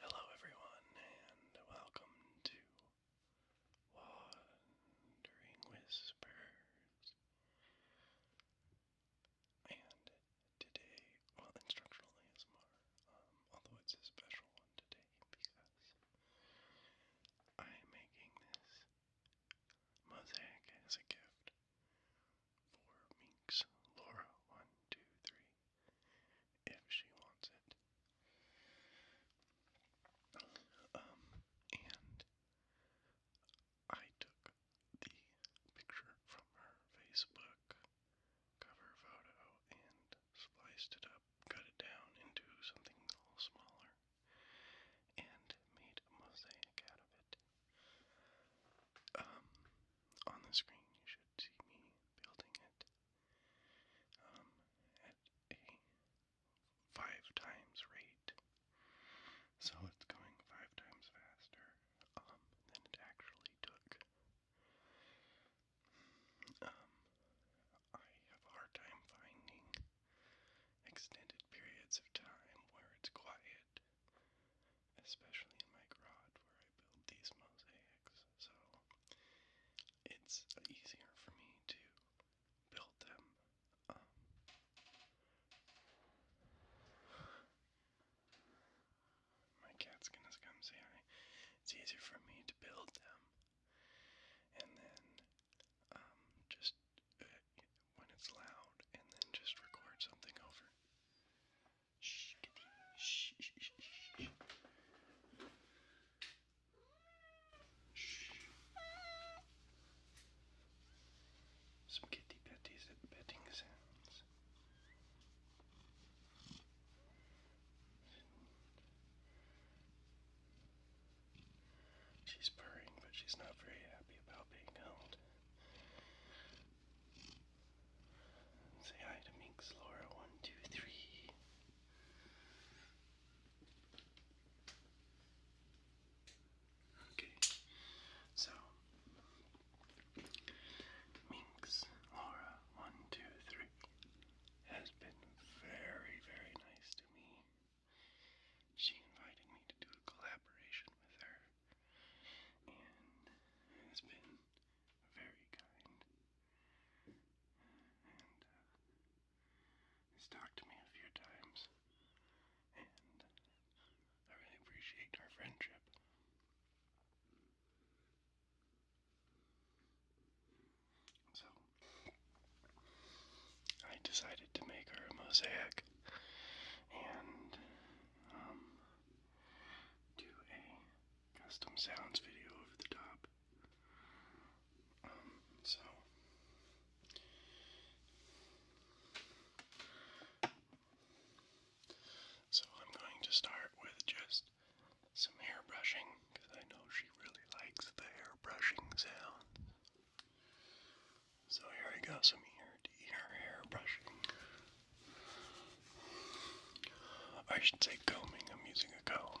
Hello, everyone, and welcome to Wandering Whispers. And today, well, instructional ASMR, um, although it's a special one today because I am making this mosaic as a gift for Minx Laura. One, two, three. If she wants it. Um, and I took the picture from her Facebook cover photo and spliced it up, cut it down into something a little smaller, and made a mosaic out of it. Um, on the screen, you should see me building it um, at a five times rate. So it's going five times faster um, than it actually took. Um, I have a hard time finding extended periods of time where it's quiet especially in my garage where I build these mosaics. So it's easier for me to build them. Um, my cat's gonna come say hi. It's easier for me to build them, and then um, just uh, when it's loud, and then just record something over. Shh, get the, shh, shh, shh, shh. Shh. Spaghetti patties and petting sounds. She's purring, but she's not very happy about being held. Say hi to Minx Laura one, two, three. Okay. So Minx Laura one, two, three has been very, very nice to me. She invited me to do a collaboration with her and has been very kind and uh, talked to me a few times, and I really appreciate our friendship. So, I decided to make her a mosaic and um, do a custom sounds video over the top. Um, so so I'm going to start with just some hair brushing because I know she really likes the hair brushing sound. So here I go, some ear ear hair brushing. I should say combing. I'm using a comb.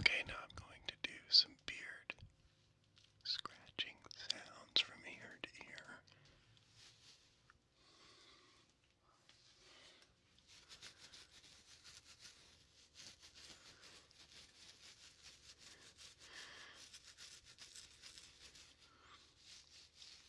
Okay, now I'm going to do some beard scratching sounds from ear to ear.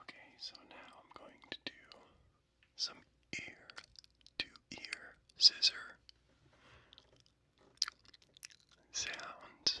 Okay, so now I'm going to do some ear to ear scissor sounds.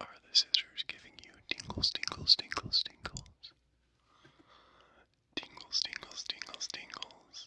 Are the scissors giving you tingles, tingles, tingles, tingles? Tingles, tingles, tingles, tingles.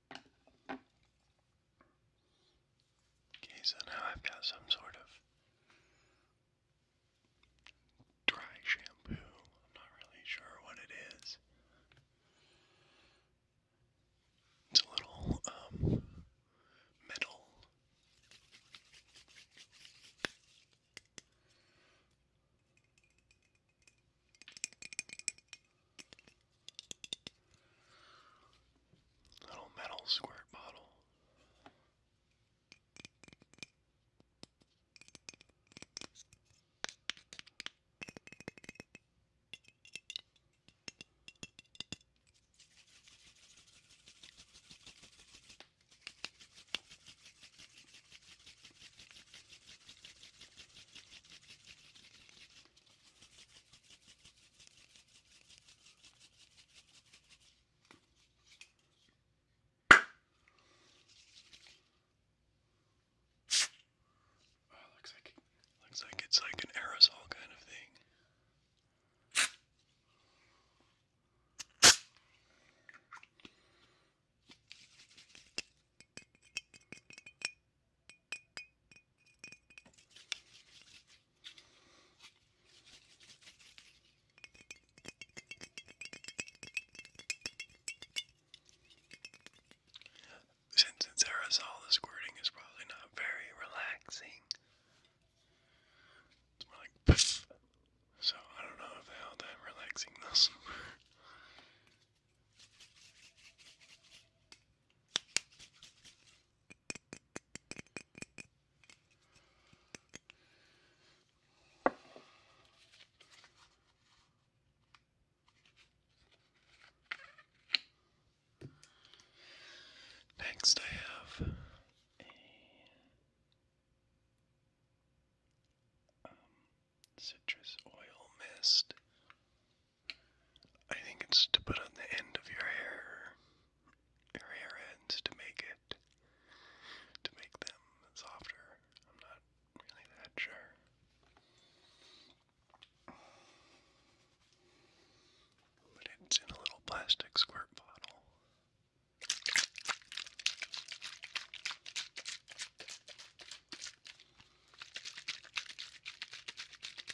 Okay, so now I've got some sort of dry shampoo. I'm not really sure what it is. It's a little um metal. Little metal squirt bottle. Oh, looks like looks like it's like an aerosol kind of thing. Since it's aerosol, the squirting is probably not very relaxing. It's more like poof. So I don't know if how that relaxing those Next, I have a um, citrus oil mist I think it's to put on the end of your hair, your hair ends to make it, to make them softer. I'm not really that sure. But it's in a little plastic squirt bottle.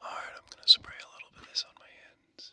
Alright, I'm going to spray a little bit of this on my hands.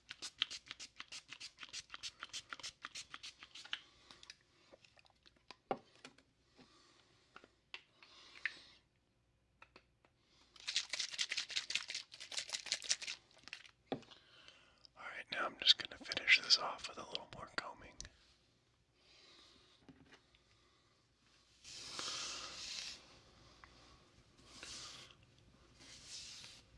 All right, now I'm just going to finish this off with a little more combing.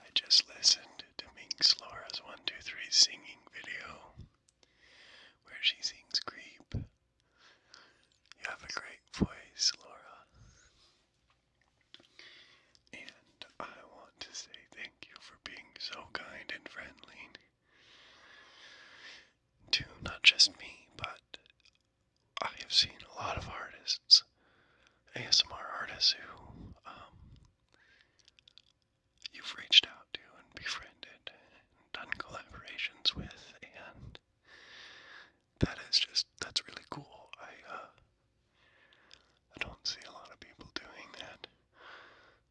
I just listened to Minx Laura's 123 singing video where she sings Creep. You have a great voice, Laura. And I want to say thank you for being so kind and friendly to not just me, but I have seen a lot of artists, ASMR artists, who um, you've reached out to and befriended and done collaborations with, and that is just, that's really cool. I, uh, I don't see a lot of people doing that,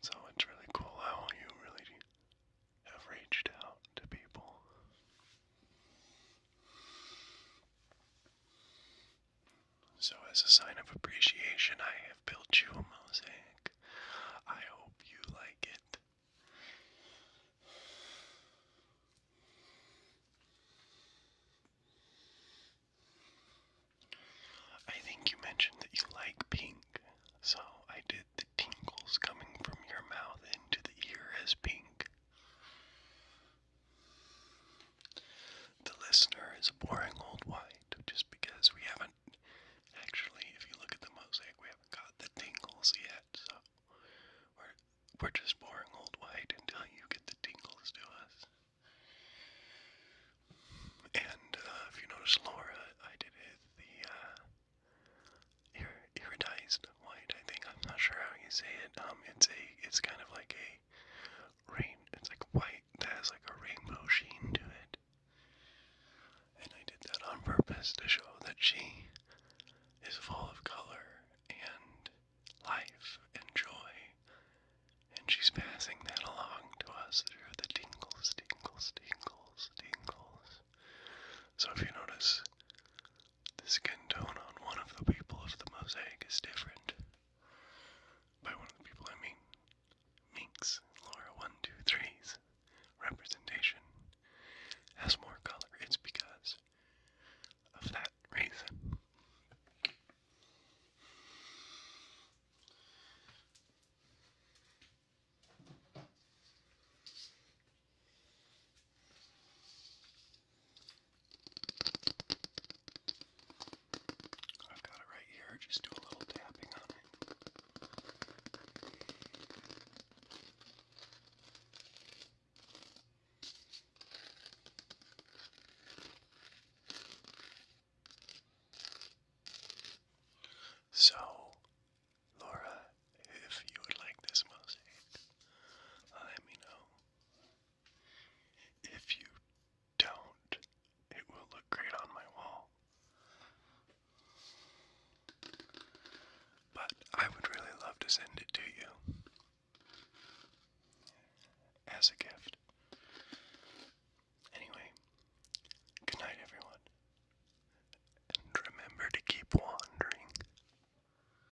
so it's really cool how you really have reached out to people. So, as a sign of appreciation, I have built you a mosaic. I hope you like it. I think you mentioned that you like pink, so I did the tingles coming from your mouth into the ear as pink. The listener is a boring old white, just because we haven't actually, if you look at the mosaic, we haven't got the tingles yet, so we're we're just boring old white until you get the tingles to us. And uh, if you notice, Laura, I did it the uh, white. I think I'm not sure how you say it. Um, it's a it's kind of like a rain. It's like white that has like a rainbow sheen to it. And I did that on purpose to show that she is full of color and life and joy. And she's passing that along to us through the tingles, tingles, tingles, tingles. So if you notice the skin tone on one of the people of the mosaic is different. By one of the people, I mean Minx, Laura 123's representation has more color. It's because of that reason. I've got it right here. Just do a little tapping on it. So, Laura, if you would like this mosaic, let me know. If you don't, it will look great on my wall. But I would really love to send it to you as a gift. Anyway, good night, everyone. And remember to keep wandering.